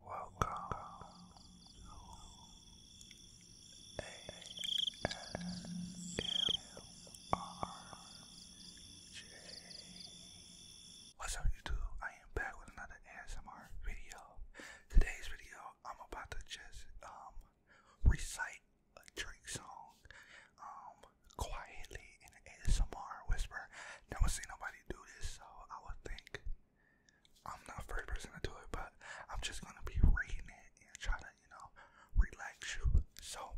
What's up YouTube? I am back with another ASMR video. Today's video, I'm about to just um recite a Drake song um quietly in ASMR whisper. Never seen nobody everybody do this, so I would think I'm not the first person to do it, but I'm just gonna be reading it and try to, you know, relax you. So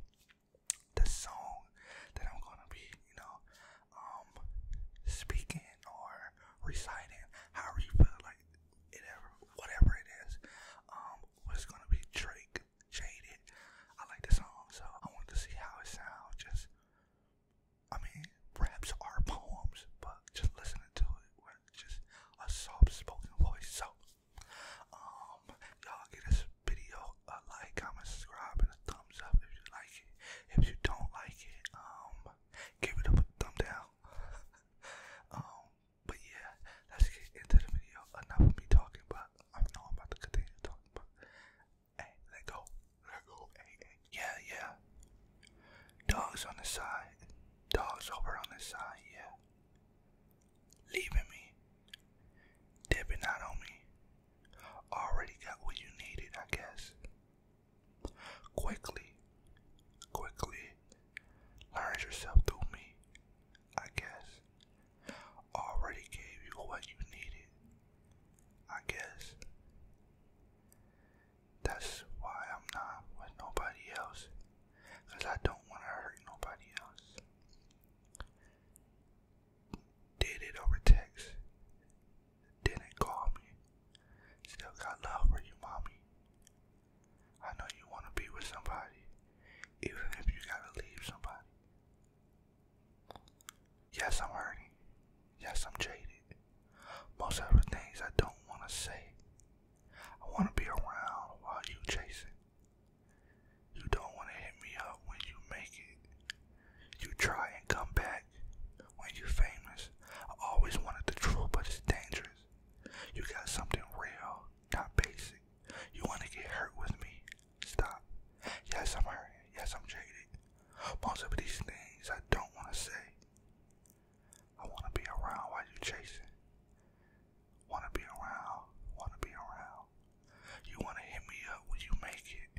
the song that I'm gonna be, you know, um speaking or reciting, however you feel like it ever whatever it is, um, was gonna be Drake Jaded. I like the song, so I want to see how it sounds. Just I mean, raps are poems, but just listening to it with just a soft spoken voice. So, um, y'all give this video a like, comment, subscribe, and a thumbs up if you like it. If you don't like it, um, give it a thumb down. Um, but yeah, let's get into the video. Enough of me talking, but I know I'm about to continue talking, let go. Let go. Yeah, yeah. Dogs on the side. Dogs over on the side, yeah. Leaving me. Dipping out on me. Already got what you needed, I guess. Quickly. Quickly. Learn yourself through me. I guess already gave you what you needed. I guess that's why I'm not with nobody else, I don't want to hurt nobody else. Did it over text, didn't call me. Still got love for you, mommy. I know you want to be with somebody, even if you gotta leave somebody. Yes, I'm hurting. Yes, I'm jaded. Most of the things I don't want to say. I want to be around while you chasing. You don't want to hit me up when you make it. You try and come back when you're famous. I always wanted the truth, but it's dangerous. You got something real not basic. You want to get hurt with me? Stop. Yes, I'm hurt. Yes, I'm jaded. Most of these things I don't want to say. I want to be around while you are chasing. Want to be around. Want to be around. You want to hit me up when you make it.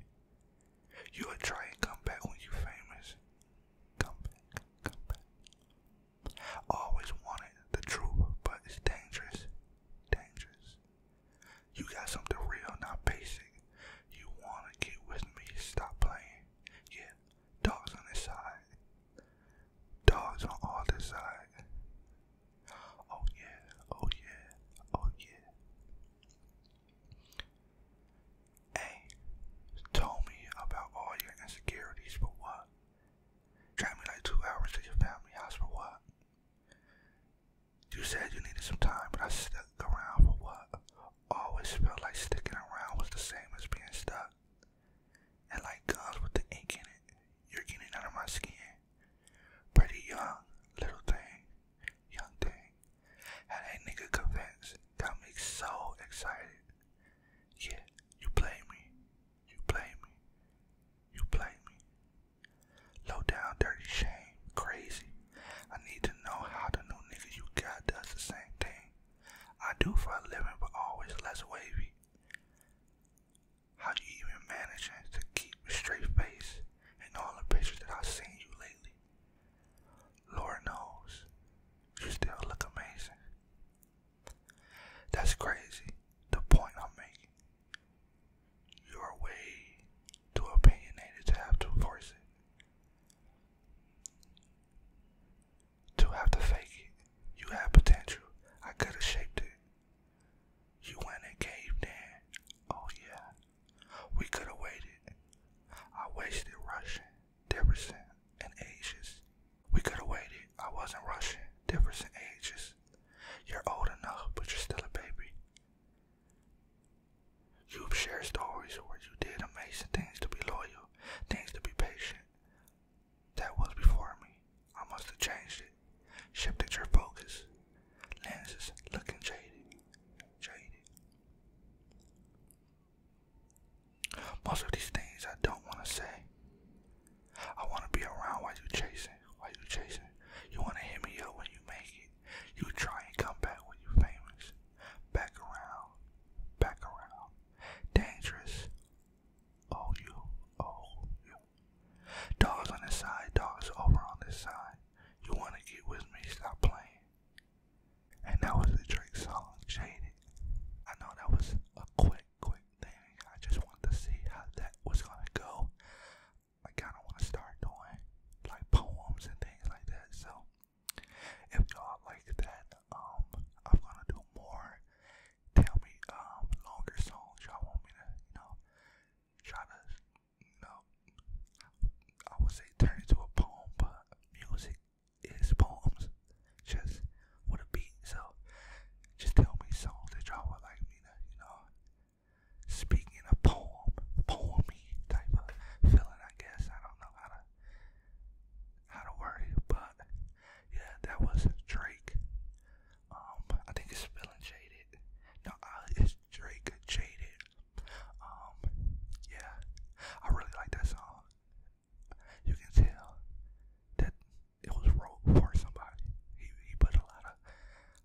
You'll try and come back when you are famous. Come back. Come back always wanted the truth, but it's dangerous. Dangerous. You got something real, not basic. You wanna get with me, stop playing. Yeah, dogs on this side. Dogs on all this side. Oh yeah, oh yeah, oh yeah. Hey, told me about all your insecurities, but what? Drive me like two hours to your family house for what? You said you needed some time, but I stuck around for what? Always felt like sticking around was the same as being stuck. And like guns with the ink in it, you're getting under my skin. Pretty young, little thing, young thing. Had that nigga convinced, got me so excited. Yeah, you play me. You play me. You play me. Low down, dirty shame, crazy. I need to know how the new nigga you got does the same thing. I do for a living, but always less wavy. How you even manage to keep a straight face in all the pictures that I've seen you lately? Lord knows, you still look amazing. That's crazy. The point I'm making. you way too opinionated to have to force it. To have to fake it. You had potential. I could have shaped it. You went and caved in. Oh yeah. We could have waited. I wasted rushing different and ages. We could have waited. I wasn't rushing. Difference in ages. You're old enough, but you're still a baby. You've shared stories where you did amazing things to be loyal, things to be patient. That was before me. I must have changed it. Shifted your focus. Lenses looking jaded. Jaded. Most of these things I don't want to say. I want to be around while you chasing, while you chasing. You want to hit me up when you make it. You try and come back when you famous. Back around, back around. Dangerous. Oh, you, oh, you. Dogs on this side, dogs over on this side. You want to get with me, stop playing. And that was the Drake song, Shaded. I know that was a quick, quick thing. I just wanted to see how that was gonna go. I kinda wanna start doing like poems and things like that. So if y'all like that, um, I'm gonna do more. Tell me um longer songs y'all want me to, you know, try no, I would say turn into a poem, but music is poems, just with a beat. So just tell me songs that y'all would like me to, you know, speak in poem, poemy type of feeling. I guess I don't know how to how to word it, but yeah, that was Drake. Um, I think it's spelling shaded. No, uh, it's Drake Jaded. Um, yeah, I really like that song. You can tell that it was wrote for somebody. He he put a lot of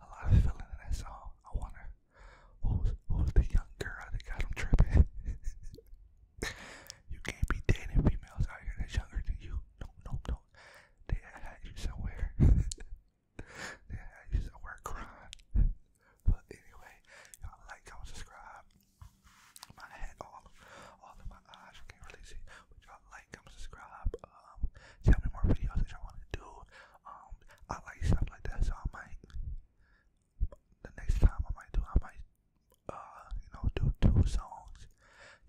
a lot of feeling in that song. I wonder who's who's the young girl that got him tripping. you can't be dating females out here that's younger than you. No, no, no. They had you somewhere. I used to work crying. But anyway, y'all like, comment, subscribe. My head, all of, of my eyes, can't really see. y'all like, comment, subscribe. Um, tell me more videos that y'all want to do. Um, I like stuff like that, so I might. The next time I might do, I might, uh, you know, do two songs.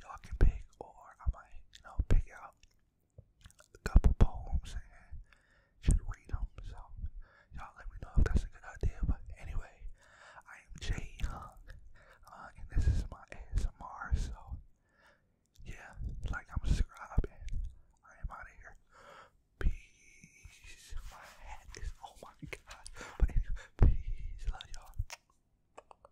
Y'all can pick, or I might, you know, pick out a couple poems and read them. So, y'all let me know if that's a good idea. But anyway, I am Jay Hung, uh, and this is my ASMR. So, yeah, like, I'm subscribing. I am out of here. Peace. My hat is, oh my god. But anyway, peace. Love y'all.